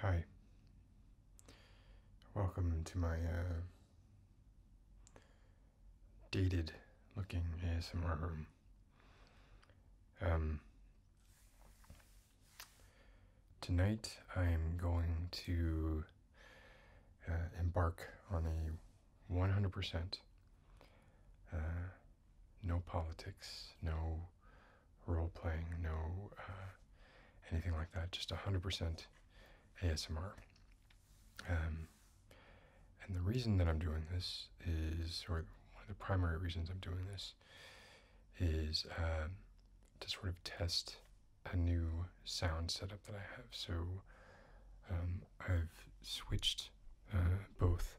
Hi. Welcome to my uh, dated looking ASMR room. Um, tonight I'm going to uh, embark on a 100% uh, no politics, no role playing, no uh, anything like that, just 100% ASMR. Um, and the reason that I'm doing this is, or one of the primary reasons I'm doing this, is um, to sort of test a new sound setup that I have. So um, I've switched uh, both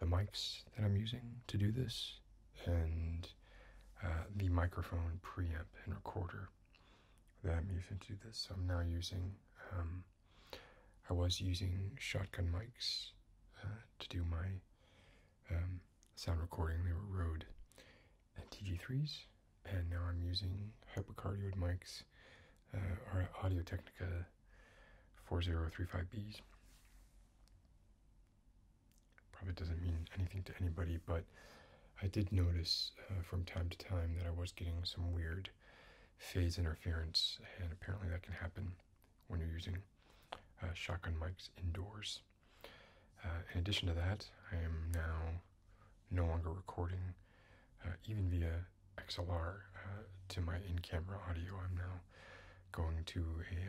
the mics that I'm using to do this and uh, the microphone preamp and recorder that I'm using to do this. So I'm now using, um, I was using shotgun mics uh, to do my um, sound recording. They were Rode and TG3s, and now I'm using hypercardioid mics uh, or Audio Technica 4035Bs probably doesn't mean anything to anybody, but I did notice uh, from time to time that I was getting some weird phase interference, and apparently that can happen when you're using uh, shotgun mics indoors. Uh, in addition to that, I am now no longer recording even via XLR to my in camera audio. I'm now going to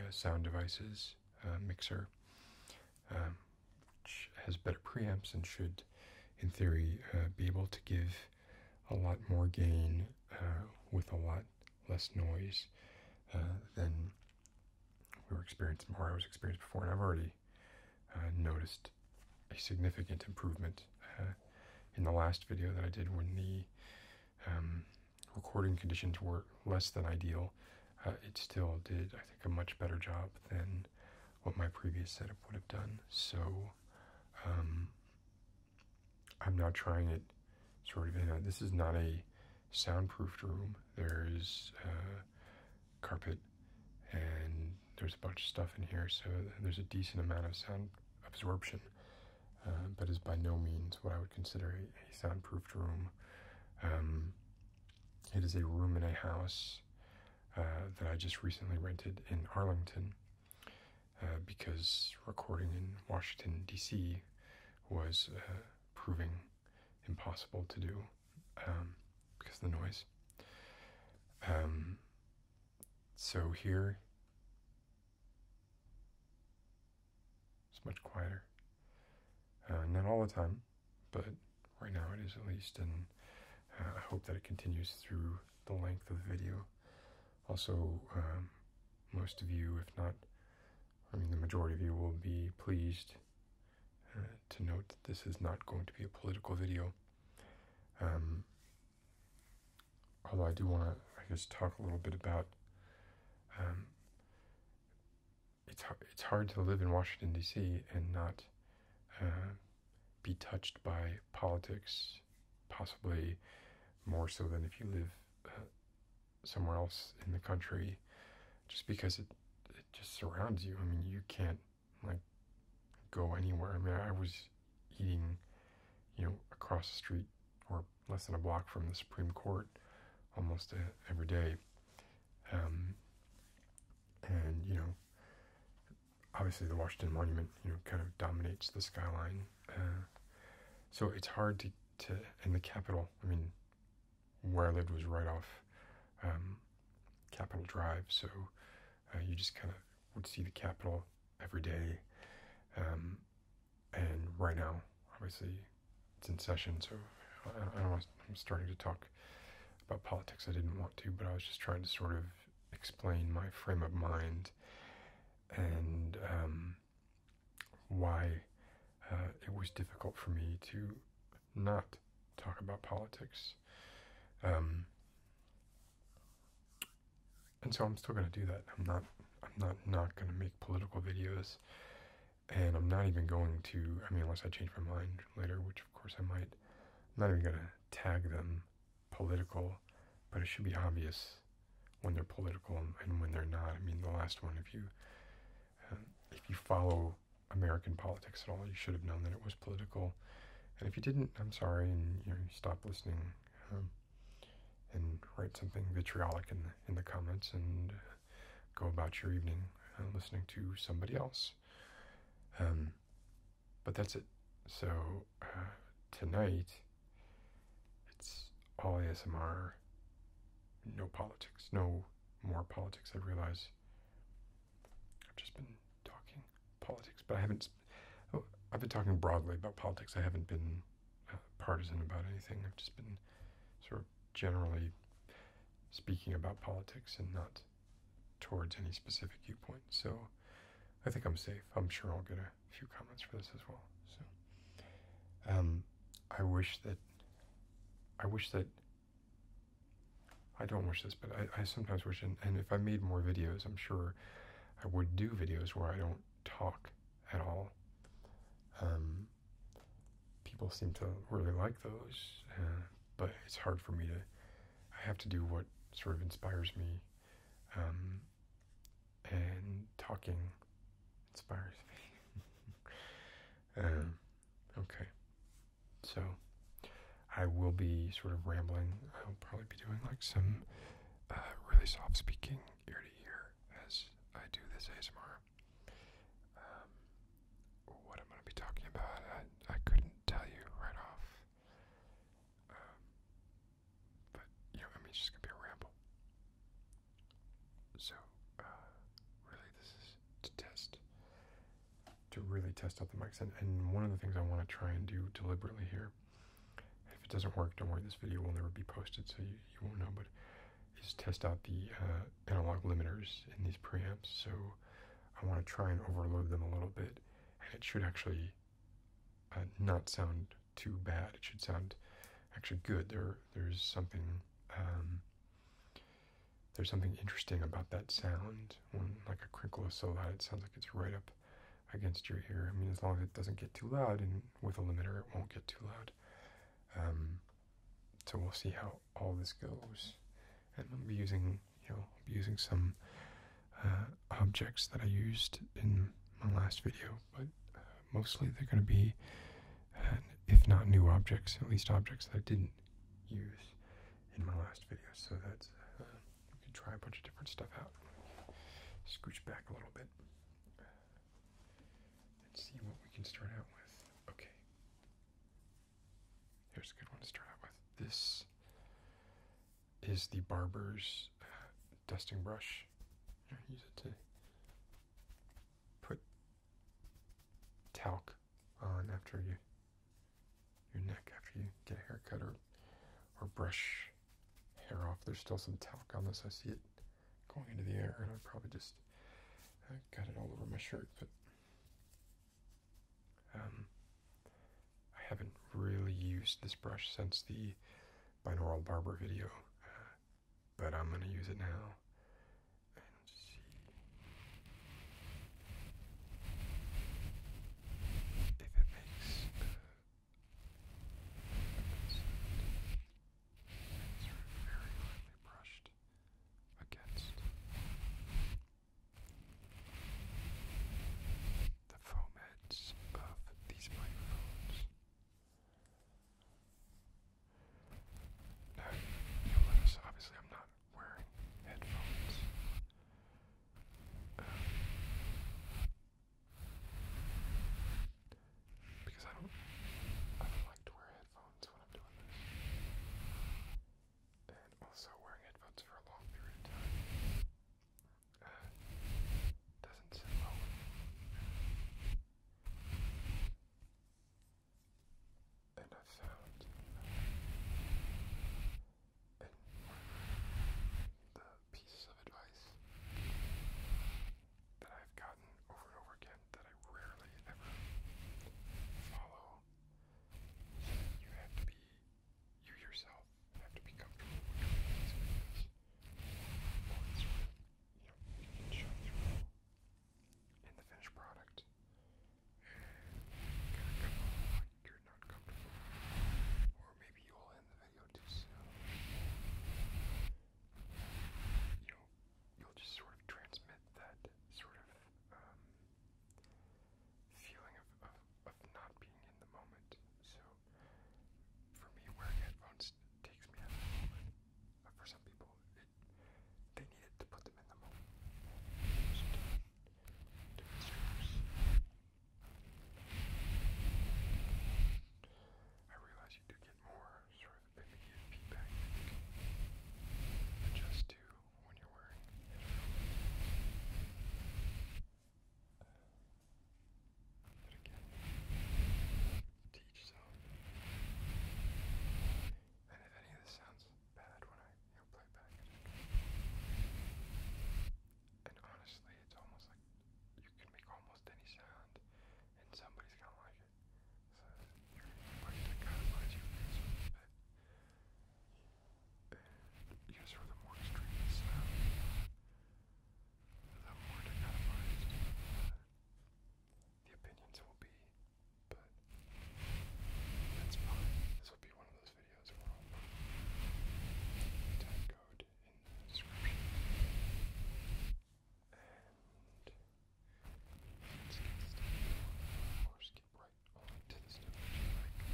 a sound devices uh, mixer, which um, has better preamps and should, in theory, uh, be able to give a lot more gain uh, with a lot less noise than we were experiencing or I was experiencing before. And I've already noticed a significant improvement in the last video that I did when the um, recording conditions were less than ideal, uh, it still did, I think, a much better job than what my previous setup would have done. So um, I'm now trying it sort of this is not a soundproofed room. There is uh, carpet and there's a bunch of stuff in here, so there's a decent amount of sound absorption, uh, but is by no means what I would consider a, soundproofed room. Um, it is a room in a house uh, that I just recently rented in Arlington uh, because recording in Washington, D.C. was uh, proving impossible to do um, because of the noise. Um, so here it's much quieter. Uh, not all the time, but right now it is at least, and uh, I hope that it continues through the length of the video. Also, um, most of you, if not, I mean, the majority of you will be pleased uh, to note that this is not going to be a political video. Um, although I do want to, I guess, talk a little bit about um, it's hard, it's hard to live in Washington D.C. and not uh, be touched by politics, possibly more so than if you live uh, somewhere else in the country, just because it it just surrounds you. I mean, you can't like go anywhere. I mean, I was eating, you know, across the street or less than a block from the Supreme Court almost uh, every day, um, and, you know, obviously the Washington Monument, you know, kind of dominates the skyline. Uh, so it's hard to, to, and the Capitol, I mean, where I lived was right off um, Capitol Drive. So uh, you just kind of would see the Capitol every day. Um, and right now, obviously, it's in session, so I, don't I'm starting to talk about politics. I didn't want to, but I was just trying to sort of explain my frame of mind and um, why uh, it was difficult for me to not talk about politics. Um, and so I'm still going to do that. I'm not. I'm not not going to make political videos. And I'm not even going to, I mean, unless I change my mind later, which of course I might, I'm not even going to tag them political, but it should be obvious when they're political and, when they're not. I mean, the last one, if you, um, if you follow American politics at all, you should have known that it was political. And if you didn't, I'm sorry, and you stop listening um, and write something vitriolic in in the comments and go about your evening uh, listening to somebody else. Um, but that's it. So uh, tonight, it's all ASMR, no politics, no more politics. I realize I've just been talking politics, but I haven't. Oh, I've been talking broadly about politics. I haven't been uh, partisan about anything. I've just been sort of generally speaking about politics and not towards any specific viewpoint. So I think I'm safe. I'm sure I'll get a few comments for this as well. So um, I wish that I wish that I don't wish this, but I, sometimes wish, and, if I made more videos, I'm sure I would do videos where I don't talk at all. Um, people seem to really like those, uh, but it's hard for me to. I have to do what sort of inspires me, um, and talking inspires me. um, okay, so I will be sort of rambling. I'll probably be doing like some uh, really soft speaking ear to ear as I do this ASMR. Um, what I'm going to be talking about. I, couldn't tell you right off. Um, but, you know, it's just going to be a ramble. So, uh, really, this is to test, to really test out the mics. And, one of the things I want to try and do deliberately here, if it doesn't work, don't worry, this video will never be posted, so you won't know, but is test out the uh, analog limiters in these preamps. So I want to try and overload them a little bit and it should actually uh, not sound too bad. It should sound actually good. There, There's something... Um, there's something interesting about that sound. When like a crinkle is so loud, it sounds like it's right up against your ear. I mean, as long as it doesn't get too loud, and with a limiter, it won't get too loud. Um, so we'll see how all this goes. And i will be using, you know, using some uh, objects that I used in my last video, but uh, mostly they're going to be, if not new objects, at least objects that I didn't use in my last video. So that uh, we can try a bunch of different stuff out. Scooch back a little bit and see what we can start out with. Okay. Here's a good one to start out with. This is the barber's uh, dusting brush. I use it to put talc on after you your neck after you get a haircut or or brush hair off. There's still some talc on this. I see it going into the air, and I probably just I uh, got it all over my shirt, but um, I haven't really used this brush since the binaural barber video, uh, but I'm going to use it now. if it makes uh, it's very lightly brushed against the foam heads of these microphones. Now, you'll notice obviously I'm not wearing headphones. Um, because I don't, I don't like to wear headphones when I'm doing this and also wearing headphones for a long period of time uh, doesn't sit well and i found and uh, the piece of advice that I've gotten over and over again that I rarely ever follow you have to be you yourself and have to be comfortable with your things you know in the finished product you're not comfortable. Or maybe you'll end the video too soon. You know, you'll just sort of transmit that sort of um, feeling of, of, of not being in the moment. So for me, wearing headphones takes me out of the moment. But for some people, they need it to put them in the moment. I realize you do get more sort of immediate feedback that you can when you're wearing uh, again, to zone. And if any of this sounds bad when I play back, and honestly, it's almost like you can make almost any sound, and somebody's gonna like it. So you're, you're to your face a bit. And yes, for the more extreme the more dichotomized the opinions will be. But that's fine. This will be one of those videos where I'll put in the description. And let's get started it right only to this dimension,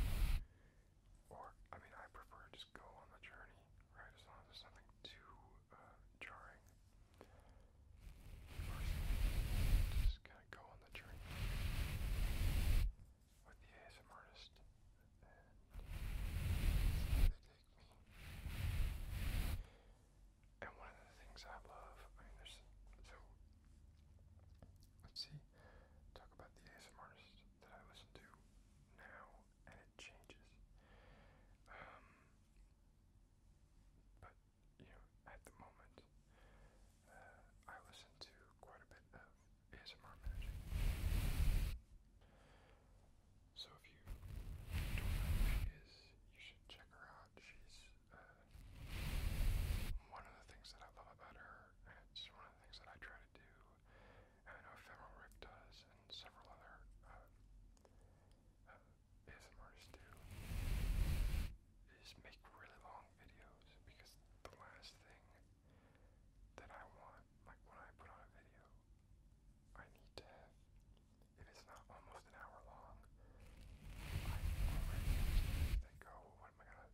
or, I mean, I prefer just go on the journey, right, as long as there's nothing too, uh, jarring. just kind of go on the journey with the ASM artist, and take me. And one of the things I love, I mean, there's, so, let's see, talk about the ASMRs that I listen to now, and it changes. Um, but you know, at the moment, uh, I listen to quite a bit of ASMR magic. So if you don't know who she is, you should check her out. She's uh, one of the things that I love about her, and it's one of the things that I try to do, and I know Ephemeral Rick does, and several other um, uh, do, is make really long videos because the last thing that I want, like when I put on a video, I need to it's not almost an hour long, what am I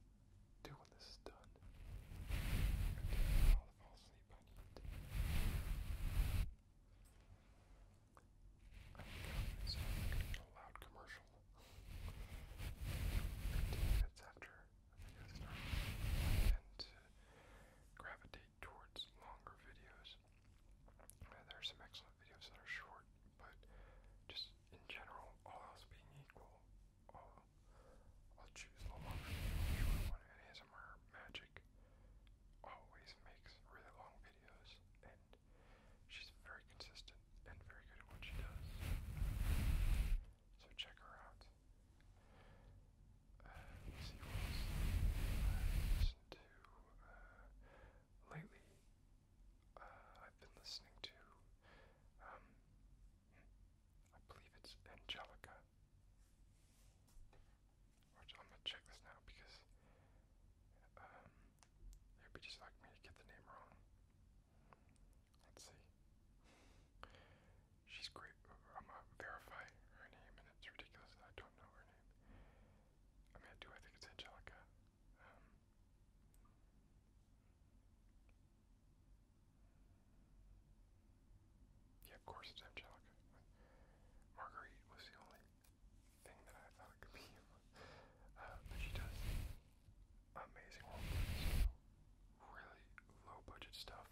do when this is done? I'm gonna fall asleep I need. I'm gonna so i to a loud commercial. 15 minutes after I think I start, I tend to gravitate towards longer videos. there are some excellent videos that are short, but just in general, all else being equal, I'll, choose the longer short one. And ASMR Magic always makes really long videos, and she's very consistent and very good at what she does. So check her out. Uh, see what else I listened to uh, lately. Uh, I've been listening to um, I believe it's Angelica. Or I'm gonna check this now because um, it would be just like me to get the name wrong. Let's see. She's great. I'm gonna verify her name, and it's ridiculous I don't know her name. I mean, do. I think it's Angelica. Um, yeah, of course it's Angelica. Marguerite was the only thing that I thought could be. Uh, but she does amazing work, really low budget stuff.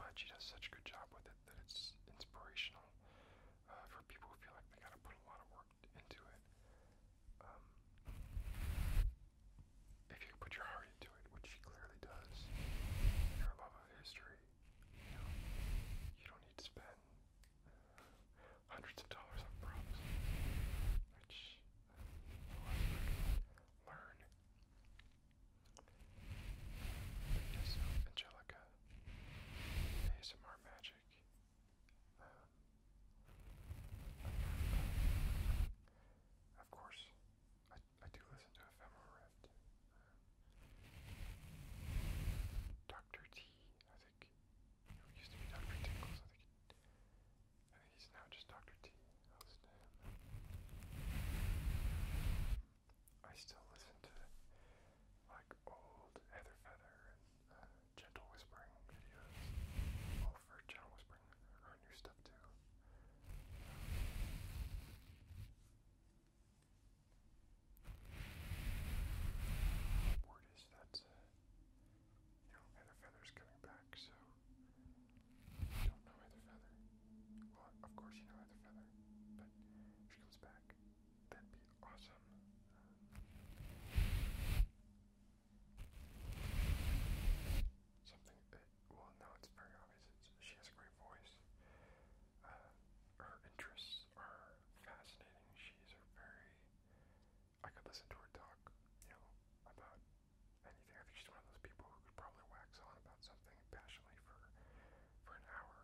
But she does such a good job with it that it's inspirational uh, for people who feel like they gotta put a lot of work into it. Um, if you put your heart into it, which she clearly does, her love of history, you know, you don't need to spend hundreds of dollars on props, which uh, learn. Yes, Angelica, ASMR magic of course, I, I do listen to Ephemeral Rift. Dr. T, I think, used to be Dr. Tinkles, I think, he's now just Dr. T. I listen to him. I still listen to like old Heather Feather and uh, gentle whispering videos. Well, oh, for gentle whispering, there new stuff too. word is that uh, you know, Feather's coming back, so don't know Feather. Well, of course you know Feather, but if she comes back, that be awesome. Something, uh, well, no, it's very obvious. she has a great voice. Uh, her interests are fascinating. She's a very. I could listen to her talk, you know, about anything. she's one of those people who could probably wax on about something passionately for for an hour,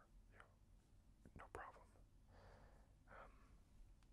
you know, no problem. Um,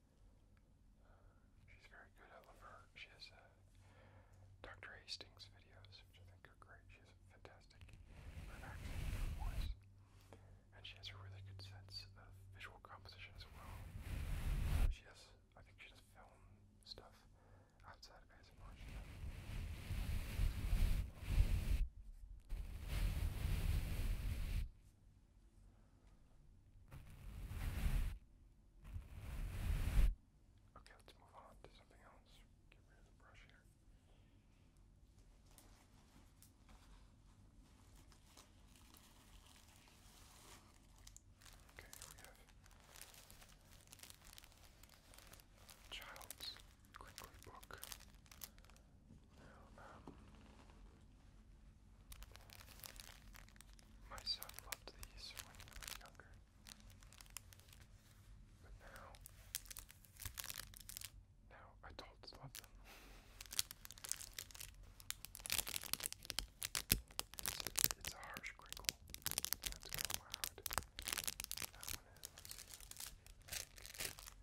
She's very good. I love her. She has uh, Dr. Hastings videos, which I think are great. She has a fantastic accent voice, and she has a really good sense of visual composition as well. she does, I think, she does film stuff outside of ASMR. Okay, let's move on to something else. Get rid the brush here. Okay, we have Child's Crinkly Book. Um, my son loved these when he was younger, but now, now adults love them. It's, a harsh crinkle. That's kind of That one is.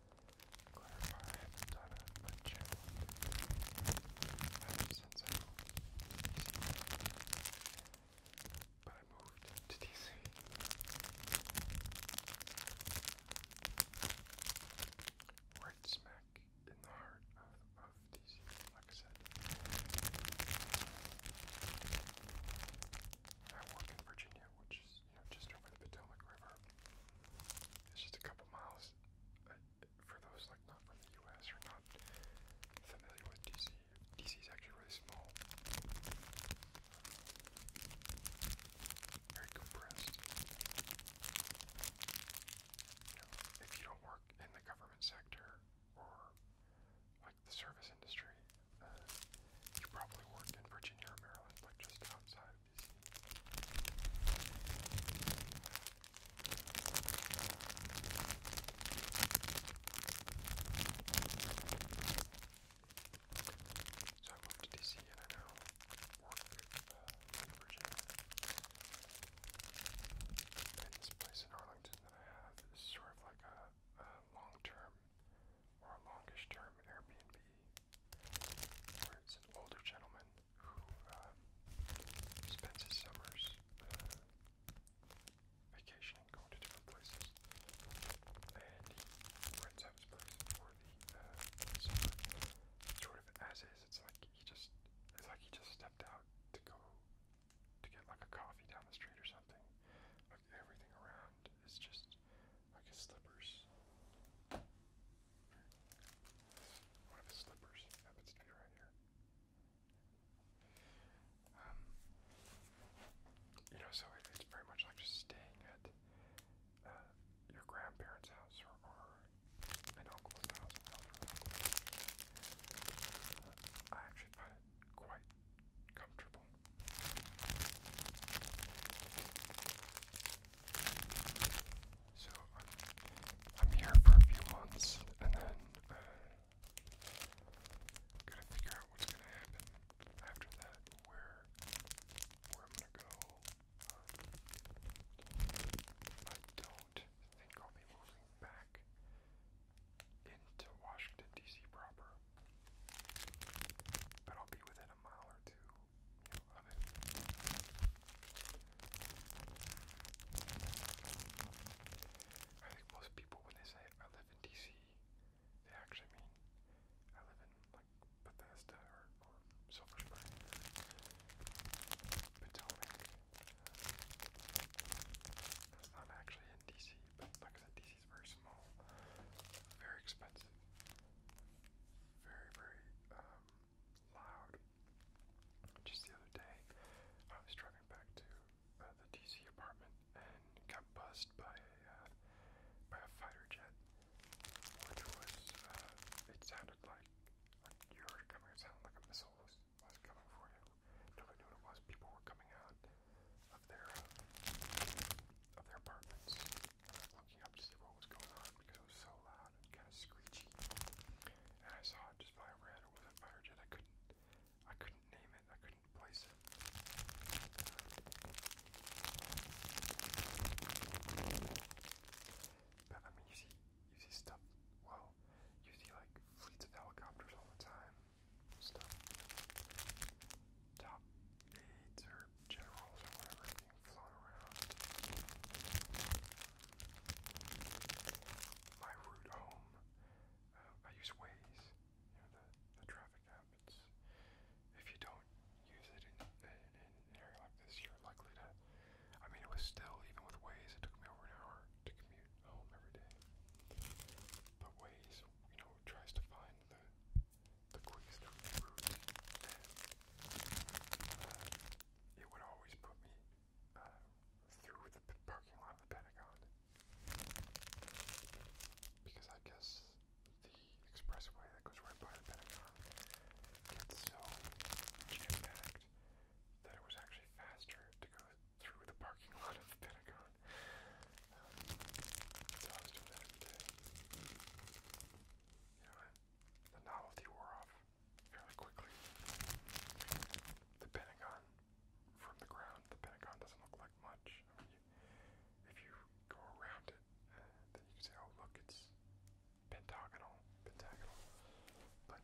clarify, I have done it channel ever since I moved to DC. But I smack in the heart of DC, like I said. I work in Virginia, which is is, you know, just over the Potomac River. It's just a couple miles. Uh, for those like not from the U.S. or not familiar with D.C., D.C. is actually really small, very compressed. You know, if you don't work in the government sector or like the service industry, uh, you probably work in Virginia or Maryland, like just outside so I moved to DC and I now work uh, in Virginia. And this place in Arlington that I have sort of like a long term or a longish term Airbnb where it's an older gentleman who uh, spends his summers uh, vacationing, going to different places, and he rents out his place for the uh, summer. Sort of as is, it's like he just it's like he just stepped out to go to get like a coffee down the street or something. Like everything around is just I guess slippers. One of his slippers happens to be right here. Um, you know, so it's very much like just staying at uh, your grandparents' house or, or uncle's house. I actually find it quite comfortable. So I'm, here for a few months and then uh, gotta figure out what's gonna happen after that, where where I'm gonna go. Um, I don't think I'll be moving back into Washington D.C. proper, but I'll be within a mile or two I think most people, when they say I live in DC, they actually mean I live in like Bethesda or, Silver Spring, Potomac. That's not actually in DC, but like I said, DC is very small, very expensive, very, very um, loud. Just the other day, I was driving back to uh, the DC apartment and got buzzed by uh, by a fighter jet, which was uh, it sounded like you heard it coming. It sounded like a missile was, coming for you. Nobody knew what it was. People were coming out of their of their apartments looking up to see what was going on because it was so loud kind of screechy. And I saw it just fly overhead. It was a fighter jet. I couldn't, I couldn't name it. I couldn't place it. But I mean, you see, you see stuff. Well, you see like fleets of helicopters all the time. Stuff. Top eights or generals or whatever being flown around. My route home, um, I use Ways, you know, the, the traffic app. It's, if you don't use it in, an area like this, you're likely to. I mean, it was still, even with Ways, it took me over an hour to commute home every day. But Waze, you know, tries to find the the quick route, uh, it would always put me uh, through the parking lot of the Pentagon. Because I guess the expressway that goes right by the Pentagon gets so jam that it was actually faster to go through the parking lot of the Pentagon. Um, so I was doing that every day. You the novelty wore off fairly quickly. The Pentagon, from the ground, the Pentagon doesn't look like much. I mean, if you go around it, uh, then you say, oh, look, it's pentagonal, pentagonal. But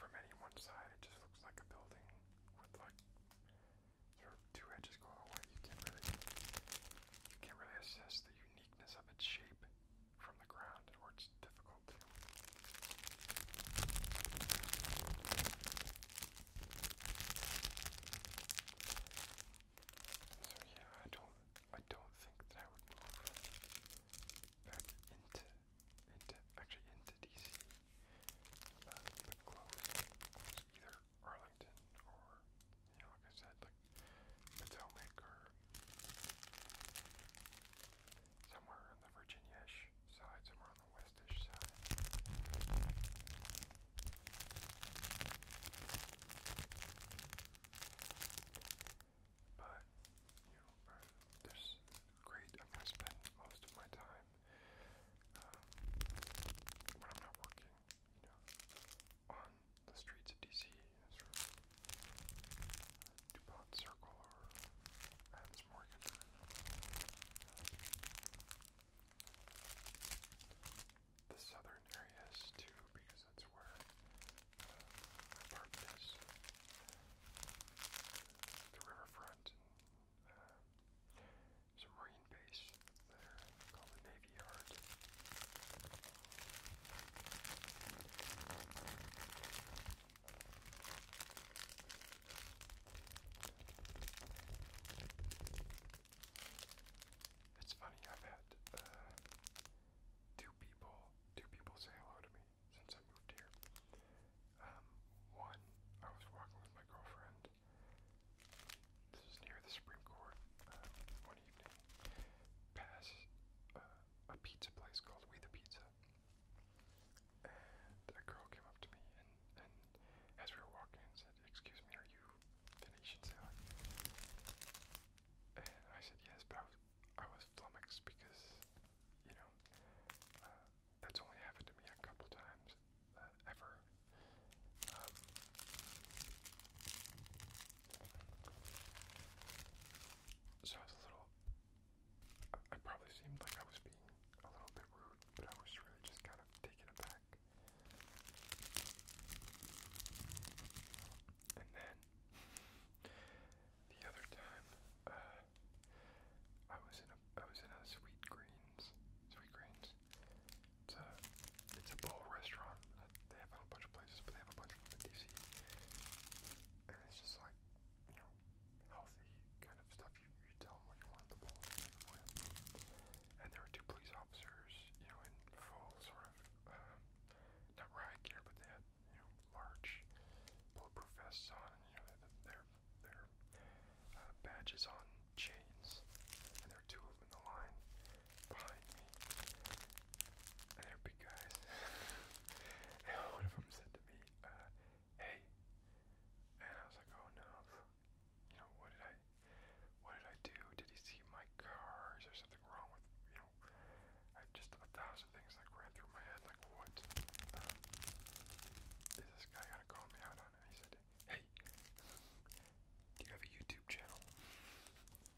from any one side, it just looks like a building with like two edges going away. You can't really, you can't really assess the uniqueness of its shape from the ground where it's difficult So yeah, I don't I don't think that I would move back into into actually into DC. Uh, but close either Arlington or you like I said, like Potomac or somewhere on the virginia side, somewhere on the west side. But you know, there's great. I'm gonna spend most of my time um, when I'm not working. You know, on the streets of DC, DuPont Circle or Adams Morgan. The southern areas too, because that's where uh, The riverfront and uh, marine base there called the Navy Yard. It's funny, I've had uh, two people, two people say hello to me since I moved here. Um, one, I was walking with my girlfriend. This is near the Supreme Court. Uh, one evening, past a pizza place called We the Pizza. And a girl came up to me and, and as we were walking and said, Excuse me, are you Venetian And I said yes, but I was I was flummoxed because, you know, uh, that's only happened to me a couple times uh, ever. Um, so I was a little. I probably seemed like I was being a little bit rude, but I was really just kind of taken aback. And then the other time, uh, I was in a I was in a Sweet Greens, Sweet Greens. It's a it's a bowl restaurant they have it a bunch of places, but they have a bunch of them in DC. And it's just like, you know, healthy kind of stuff. You, you tell them what you want the bowl to make for you. And there were two police officers, you know, in full sort of, um, not riot gear, but they had, you know, large bulletproof vests on, and, you know, their, their uh, badges on chains. And there were two of them in the line behind and they're guys. one of them said to me, uh, "Hey," and I was like, "Oh no, you know what did I, what did I do? Did he see my car? Is there something wrong with you know?" I just a thousand things like ran through my head, like what um, this guy gonna call me out on? And he said, "Hey, do you have a YouTube channel?" and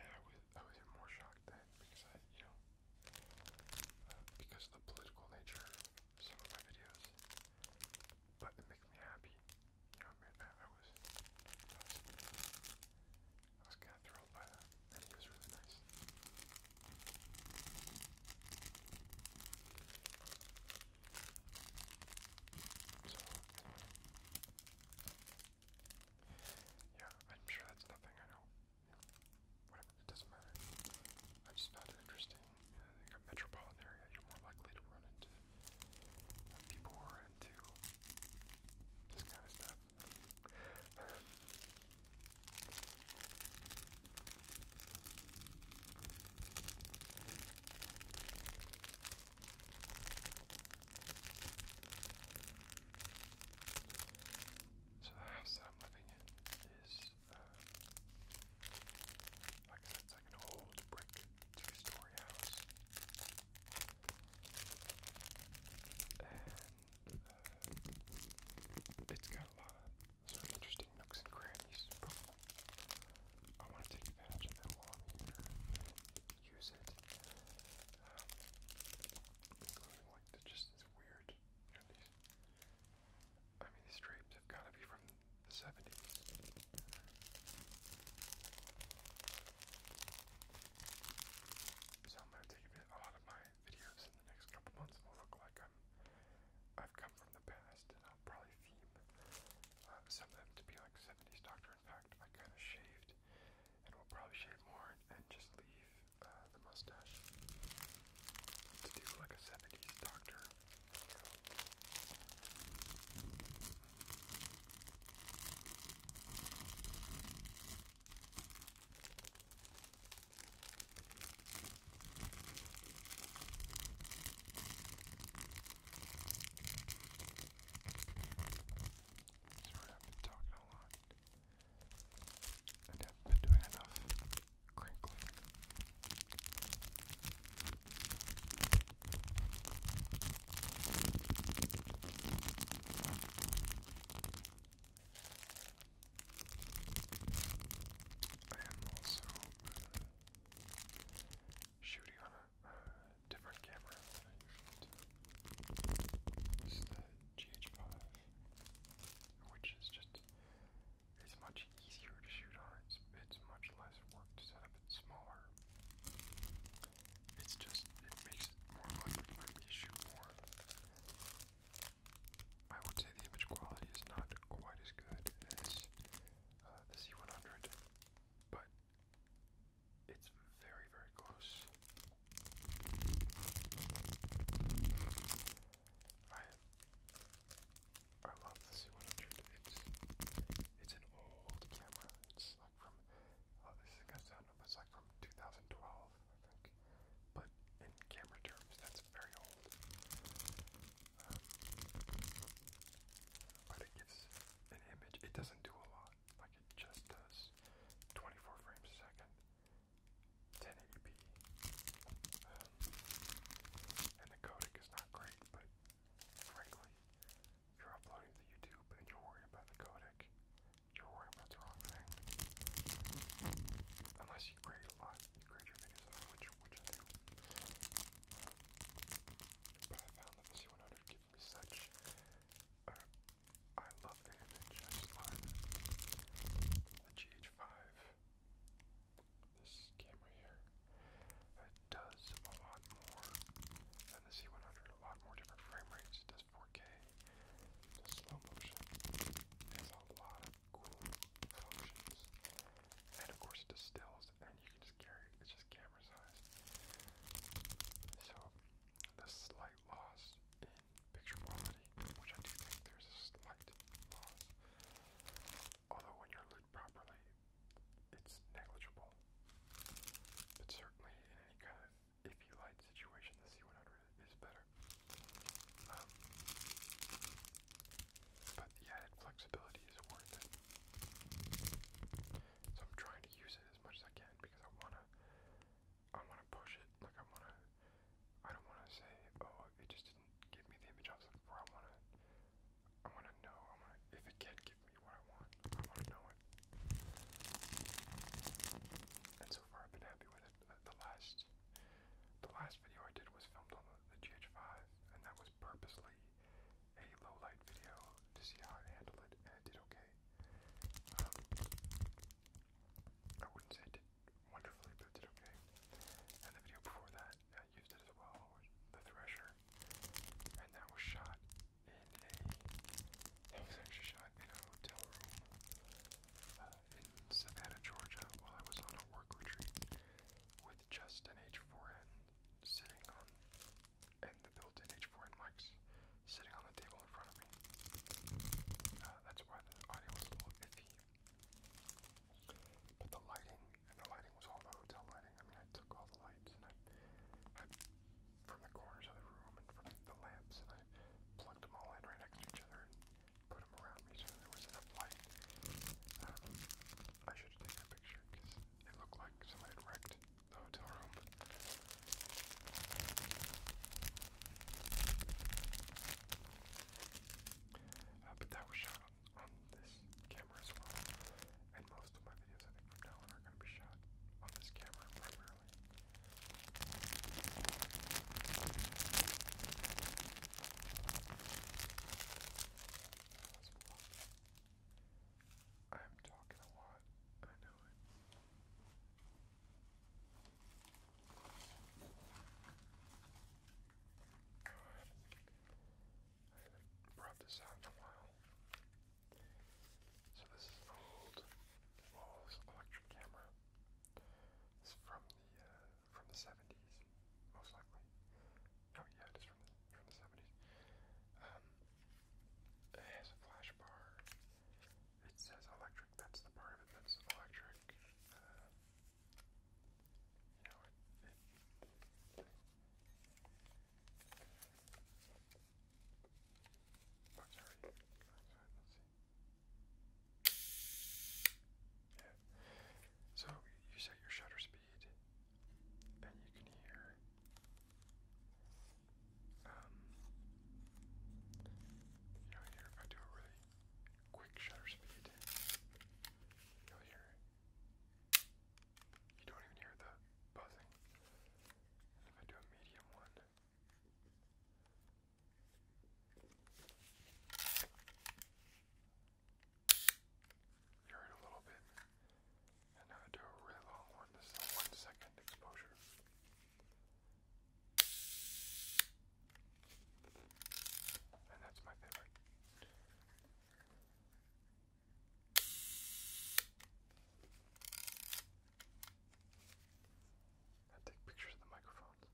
I was I was even more shocked then because you know uh, because of the political nature of some of my videos, but it makes me happy. You know, I, was I was, kind of thrilled by that, and was really nice. So, yeah, I'm sure that's nothing, I know. whatever, it doesn't matter. I'm just not interesting. You in a metropolitan area, you're more likely to run into people who are into this kind of stuff. So the house that I'm living in is, um, like I said, it's like an old brick two-story house. And uh, it's got a lot of sort interesting nooks and crannies. I want to take advantage of that while I'm here use it, um, just this weird, I mean these drapes have got to be from the 70s. So a, lot of my videos in the next couple months will look like I'm, I've come from the past and I'll probably theme uh, some of them to be like 70s Doctor. In fact, I kind of shaved and we'll probably shave more and just leave uh, the mustache to do like a 70s doctor. Sorry, I've been talking a lot. And have been doing enough crinkling. I am also shooting on a different camera than I usually do. This the GH5, which is just, it's much easier to shoot on. It's, it's much less work to set up. It's smaller. It's just, it makes it more fun for me to shoot more. I would say the image quality is not quite as good as uh, the C100, but it's very, very close. I I love the C100. It's it's an old camera. It's like from oh, this is gonna sound, like from 2012, I think. But in camera terms, that's very old. Um, but it gives an image. It doesn't do a lot like it just does uh, 24 frames a second, 1080p. Um, and the codec is not great, but frankly, you're uploading to YouTube and you're worried about the codec, you're worried about the wrong thing. Unless you grade a lot, you grade your videos out, which, which I do. Um, but I found that the C100 gives me such I love The GH5. This camera here. It does a lot more than the C100. A lot more different frame rates. It does 4K. It does slow motion. It has a lot of cool functions. And of course it does stills. And you can just carry it. It's just camera size. So the slight loss in picture quality, which I do think there's a slight loss. Although when you're lit properly, it's negligible. But certainly in any kind of iffy light situation, the C100 is better. Um, but the added flexibility is worth it. So I'm trying to use it as much as I can because I want to I want to push it. Like I want to. I don't want to say, oh, it just didn't give me the image I was looking for. I want to. I want to know. if it can give me what I want. I want to know it. And so far, I've been happy with it. The last, the last video I did was filmed on the, GH5, and that was purposely a low light video to see how I handled it, and it did okay. Um, I wouldn't say I wonderfully, but it did And the video before that, I used it as well, the thresher, and that was shot in a that was actually shot in a hotel room uh, in Savannah, Georgia, while I was on a work retreat with just an H4n sitting on and the built-in H4n mics sitting on the table in front of me. Uh, that's why the audio was a little iffy. But the lighting, and the lighting was all the hotel lighting. I mean, I took all the lights and I, from the corners of the room and from the lamps, and I plugged them all in right next to each other and put them around me so there was enough light. Um, I should have taken a picture because it looked like somebody had wrecked the hotel uh, but that was shot on this camera as well. And most of my videos, I think, from now on are going to be shot on this camera primarily. I'm talking a lot. I know it brought this out in a while. So this is an old Walls electric camera. It's from the uh, from the 70s, most likely. Oh yeah, it is from the, from the 70s. Um, it has a flash bar. It says electric. That's the part of it that's electric. Uh, oh, yeah. So you set your shutter speed, and you can hear um, you know, here if I do a really quick shutter speed, you'll hear. You don't even hear the buzzing. And if I do a medium one. You heard a little bit, and now I do a really long one. This is one second exposure. And that's my favorite. I take pictures of the microphones.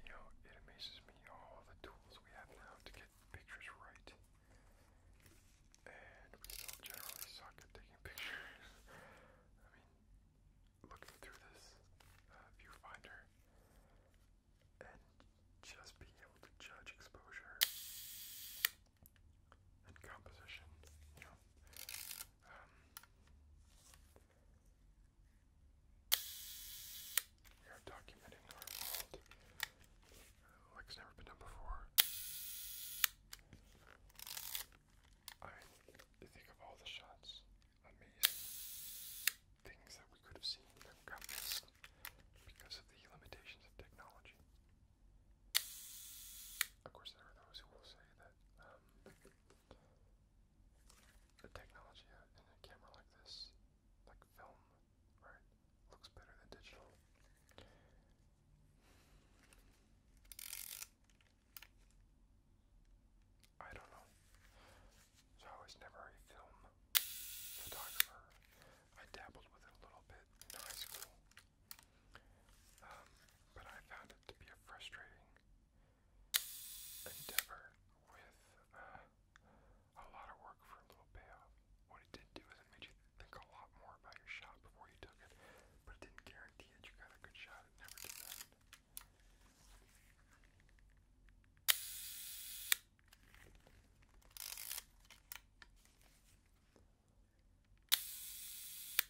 You know, it amazes me all the tools we have now to get pictures right. And we still generally suck at taking pictures. I mean, looking through this uh, viewfinder and just being able to judge exposure and composition, you know, um, we are documenting our world uh, like it's never been done before. I think of all the shots, amazing things that we could have seen that got missed because of the limitations of technology. Of course, there are those who will say that um, the technology in a camera like this, like film, right, looks better than digital. I don't know. I was never a film photographer. I dabbled with it a little bit in high school. Um, but I found it to be a frustrating endeavor with uh, a lot of work for a little payoff. What it did do is it made you think a lot more about your shot before you took it, but it didn't guarantee that you got a good shot. It never did that.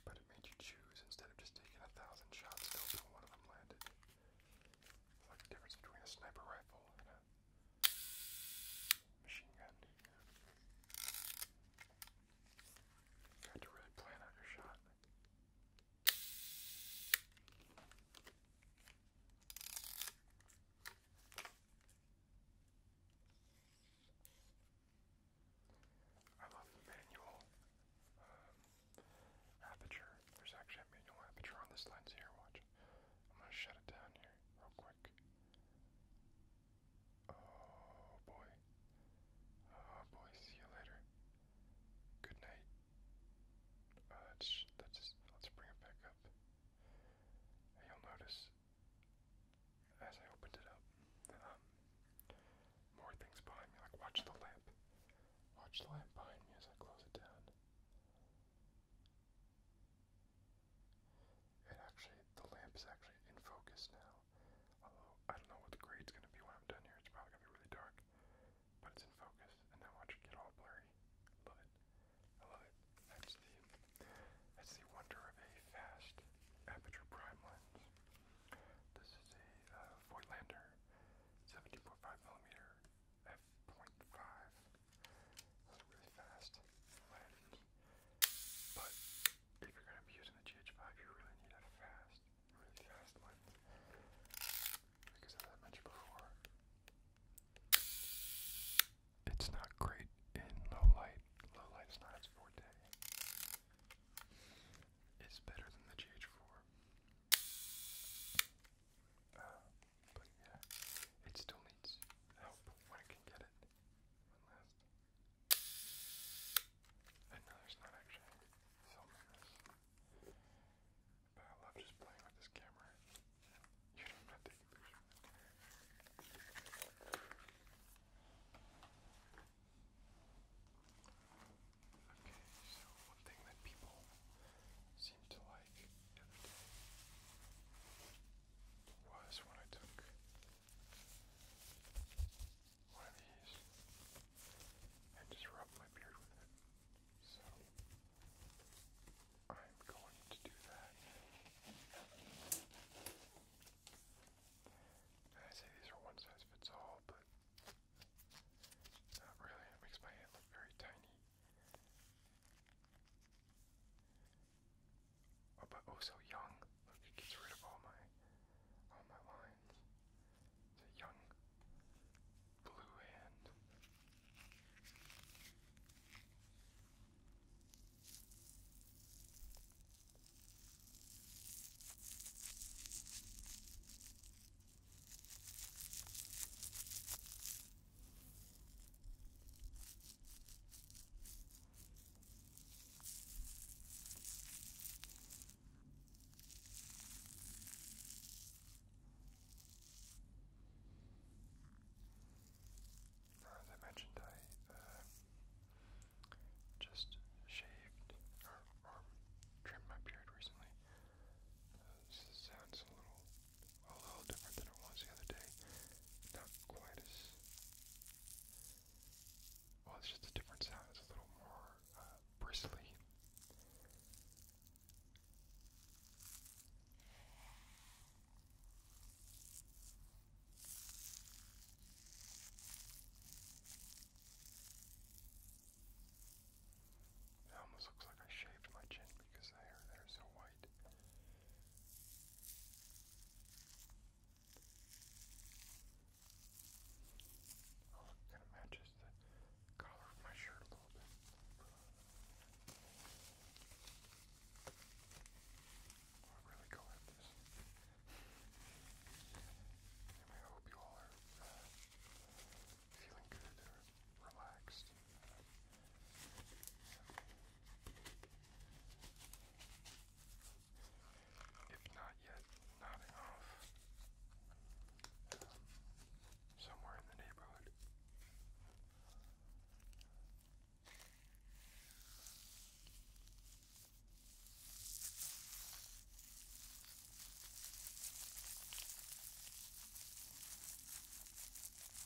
But it made you choose instead of just taking a thousand shots, still one of them landed like the difference between a sniper rifle and a machine gun. You have to really plan out your shot. I love the manual um, aperture. There's actually a manual aperture on this lens here. Watch. I'm gonna shut it down here real quick. Oh boy. Oh boy, see you later. Good night. Uh, let's, let's, bring it back up. And you'll notice as I opened it up, um, more things behind me. Like, watch the lamp. Watch the lamp behind me as I close it down. It actually, the lamp is actually in focus now. Although, I don't know what the grade's going to be when I'm done here. It's probably going to be really dark. But it's in focus, and now watch it get all blurry. love it. I love it. That's the, that's the wonder of a fast aperture prime lens. This is a uh, Voigtlander 70.5mm f.5. It's really fast Latin. But if you're gonna be using the GH5 you really need a fast, really fast Latin. Because I mentioned before, it's not great in low light. Low light is not its forte. It's better than the GH4. But yeah, it still needs help when it can get it. I know there's not actually filming this. But I love just playing with this camera. Okay, so one thing that people seemed to like every day was when I took one of these and just rubbed my beard with it. So I'm going to do that. I say these are one size fits all, but not really. It makes my hand look very tiny. Oh, but oh, so young. it gets rid of all my, all my lines. It's a young blue hand. Now, as I mentioned, I uh, just shaved or, trimmed my beard recently. Uh, sounds a little a little different than it was the other day. Not quite as well. It's just a different sound. It's a little more uh, bristly. It almost looks like I shaved my chin because the hair there is so white. Oh, it kind of matches the collar of my shirt a little bit. I'll really go at this. I hope you all are uh, feeling good relaxed. If not yet nodding off, um, somewhere in the neighborhood.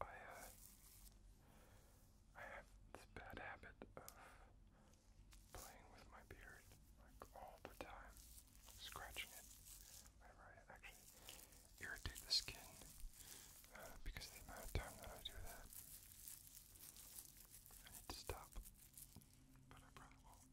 I, uh, I have this bad habit of playing with my beard like all the time, scratching it I actually irritate the skin uh, because of the amount of time that I do that. I need to stop, but I probably won't.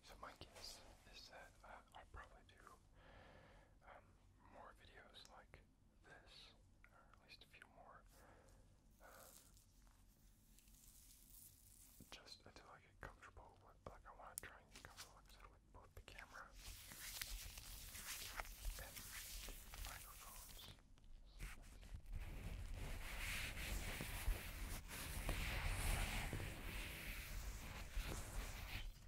So my guess is that I uh, that, I'll probably do um, more videos like this, or at least a few more, uh, just until I get comfortable with, like I want to try and get comfortable with both the camera and microphones.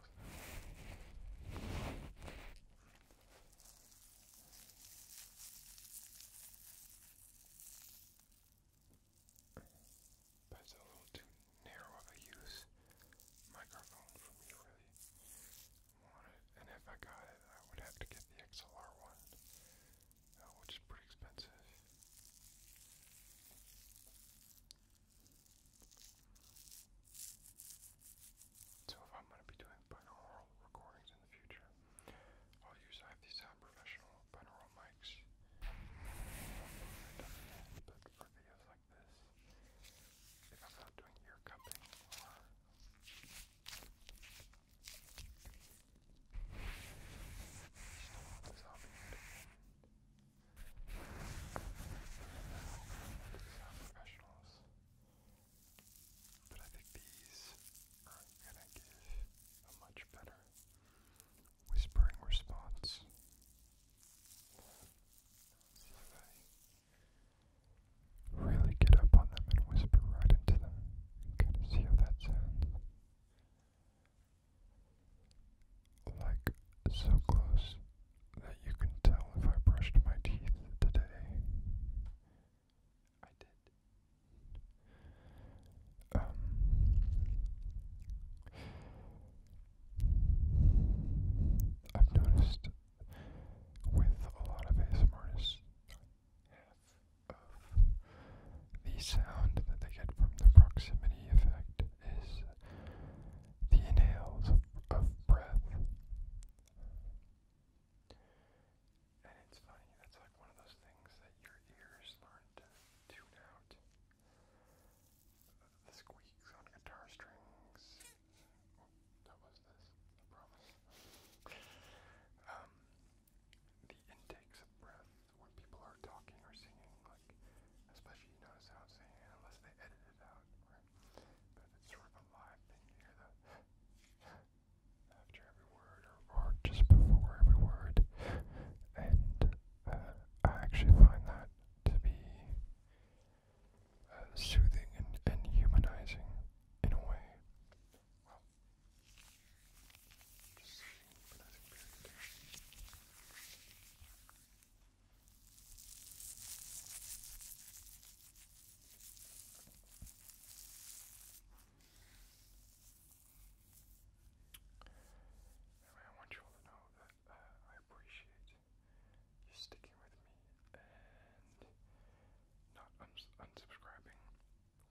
But it's a little too narrow of a use microphone for me really want it. And if I got it, I would have to get the XLR one, uh, which is pretty expensive. So if I'm going to be doing binaural recordings in the future, I'll use I have these sound professional binaural mics. But for videos like this, if I'm not doing ear cupping or sound professionals. But I think these are gonna give a much better whispering response. if I really get up on them and whisper right into them. Kind of see how that sounds like so close that you can tell if I brushed my teeth today. I did. Um, I've noticed with a lot of ASM artists, of the sound that they get from the proximity effect is the inhales of, breath. And it's funny, that's like one of those things that your ears learn to tune out. The squeaks on guitar strings. Oh, was this, I promise. um, the intakes of breath when people are talking or singing, like, especially you notice how I'm saying unless they edit it out, whatever. You after every word or, just before every word. And uh, I actually find that to be uh, soothing and, humanizing in a way. Anyway, I want you all to know that uh, I appreciate you sticking with me and not unsubscribing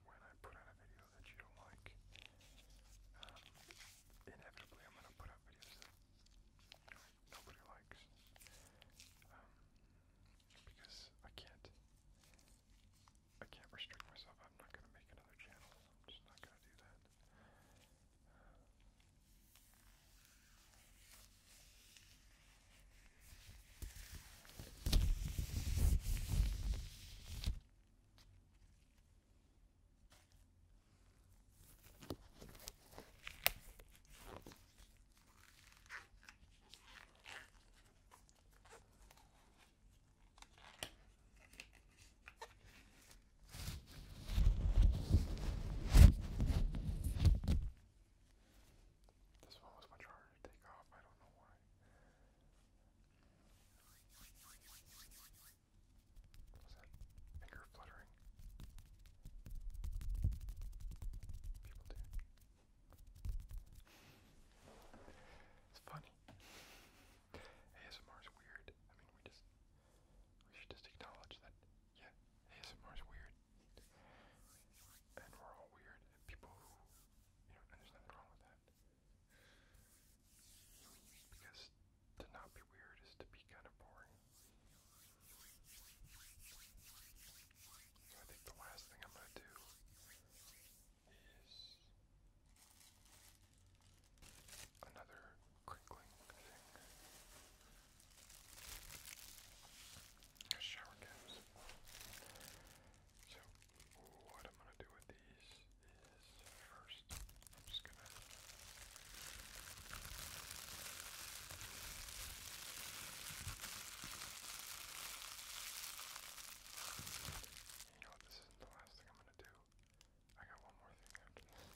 when I put out a video that you don't like. Um, inevitably, i put out videos nobody likes. Um, because I can't, I can't restrict myself. I'm not going to make another channel. I'm just not going to do that. This one was much harder to take off, I don't know why. Was that finger fluttering? sorry. It's funny. ASMR is weird. I mean, we just we should just acknowledge that. Yeah, ASMR is weird, and we're all weird. people who, you know, and there's nothing wrong with that. Because to not be weird is to be kind of boring. So I think the last thing I'm going to do is another crinkling thing. Shower caps. So what I'm going to do with these is first, I'm just going to you know what? This isn't the last thing I'm gonna do. I got one more thing after this.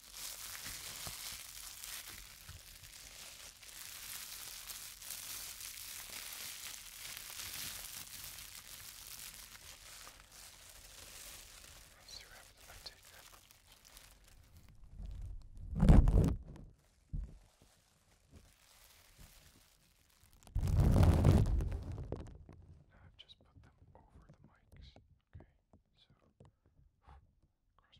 Let's see what happens if I take that. Now I've just put them over the mics. Okay, so cross my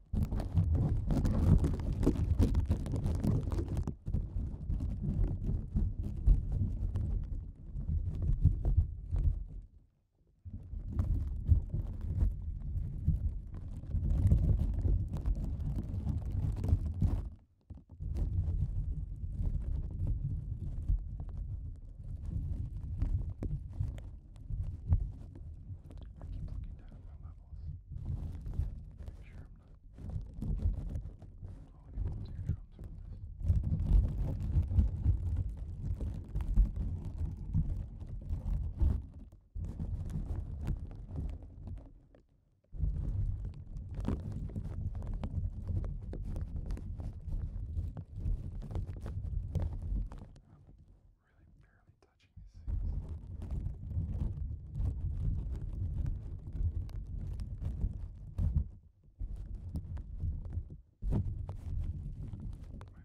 I keep looking down at my levels. Make sure I'm not blowing anyone's eardrums from this. I'm really barely touching these things. My voice may sound a little bit muffled too, since there's not plastic over them as well.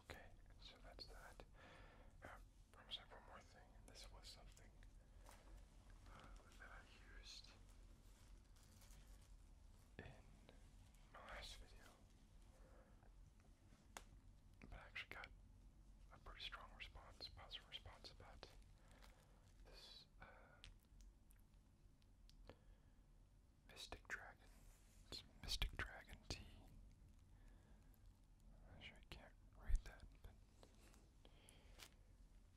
Okay, so that's that. I'm one more thing. This was something uh, that I used in my last video, but I actually got a pretty strong response, positive response about this uh, Mystic Dragon, Mystic Dragon tea. I sure can't read that,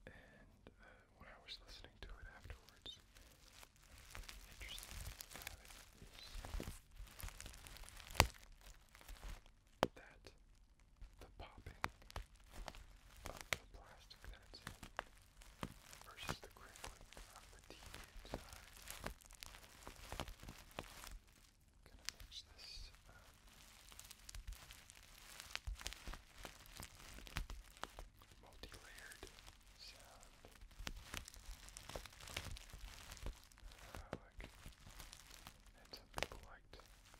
and uh, when I was listening to it afterwards, interesting thing that the popping of the plastic versus the crinkling of the TV inside gonna mix this um, multi-layered sound uh, like, and some people liked. Hopefully.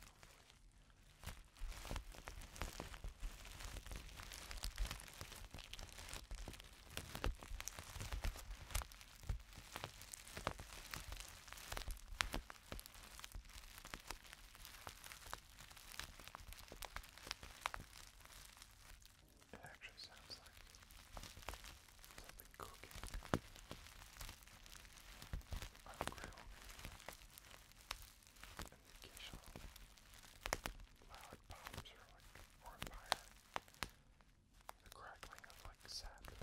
It actually sounds like something cooking on a grill and the occasional loud pops or like fire. The crackling of like sap and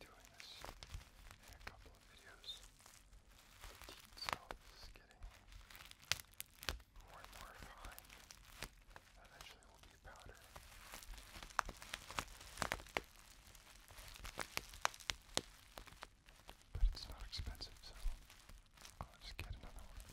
doing this in a couple of videos. The teeth itself is getting more and more fine. Eventually will be powder. But it's not expensive, so I'll just get another one.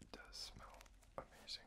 It does smell amazing.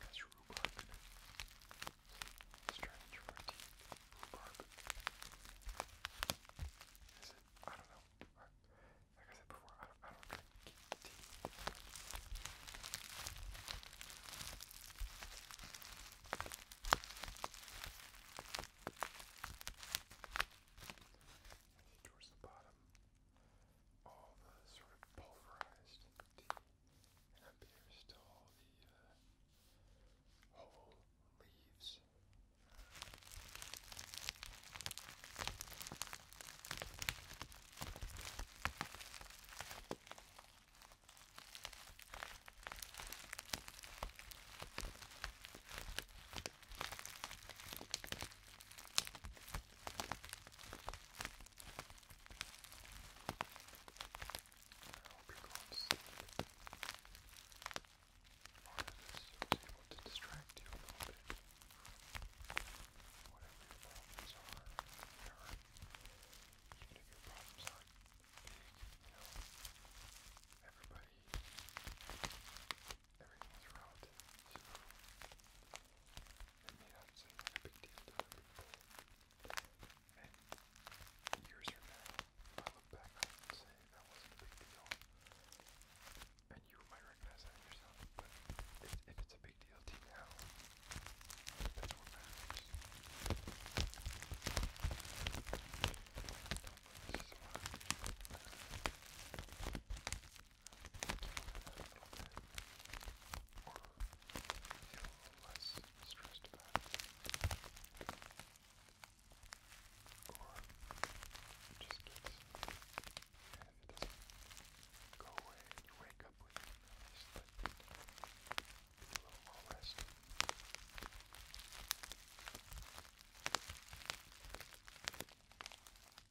That's rhubarb. I don't know. I, said before, I don't, I don't drink tea. Towards the bottom all the sort of pulverized tea, and up here is still all the uh, whole leaves hope you're going to sleep. Or if this was able to distract you a little bit from whatever your problems are, or even if your problems aren't big, you know, everybody, everything's relative, so and you have some kind of big deal to people. And years from now, I look back and say that wasn't a big deal, and you might recognize that yourself, but if, if it's a big deal to you now, that's what matters or feel less stressed about it, or just gets, and if it doesn't go away and you wake up with it, just let it be a little more rest.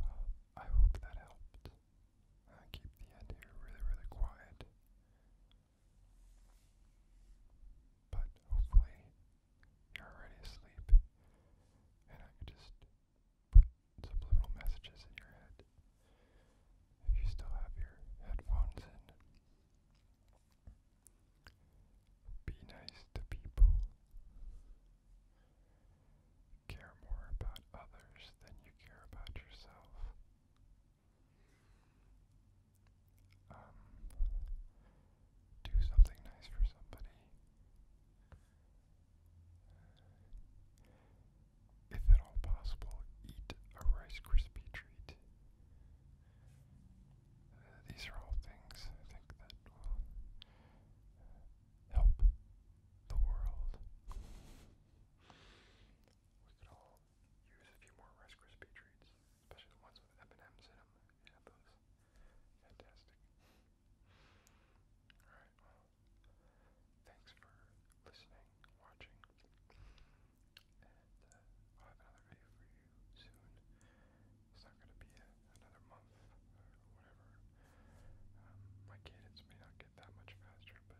Well, I hope that helped. I uh, keep the end here really, really quiet. But hopefully you're already asleep and I just put subliminal messages in your head. If you still have your headphones in, be nice to people care more about others than you care about yourself. Um, do something nice for somebody. Uh, if at all possible, eat a Rice Krispie treat. Uh, these are all things I think that will uh, help the world. We could all use a few more Rice Krispie treats, especially the ones with M&Ms in them. Yeah, those fantastic. All right, thanks for listening, watching, and I'll uh, have another video for you soon. It's not going to be another month uh, um, my cadence may not get that much faster, but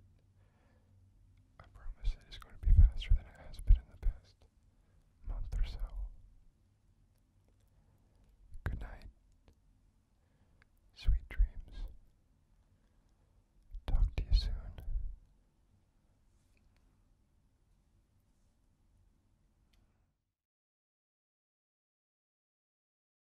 I promise it is going to be faster than it has been in the past month or so. Good night. Sweet dreams. Talk to you soon.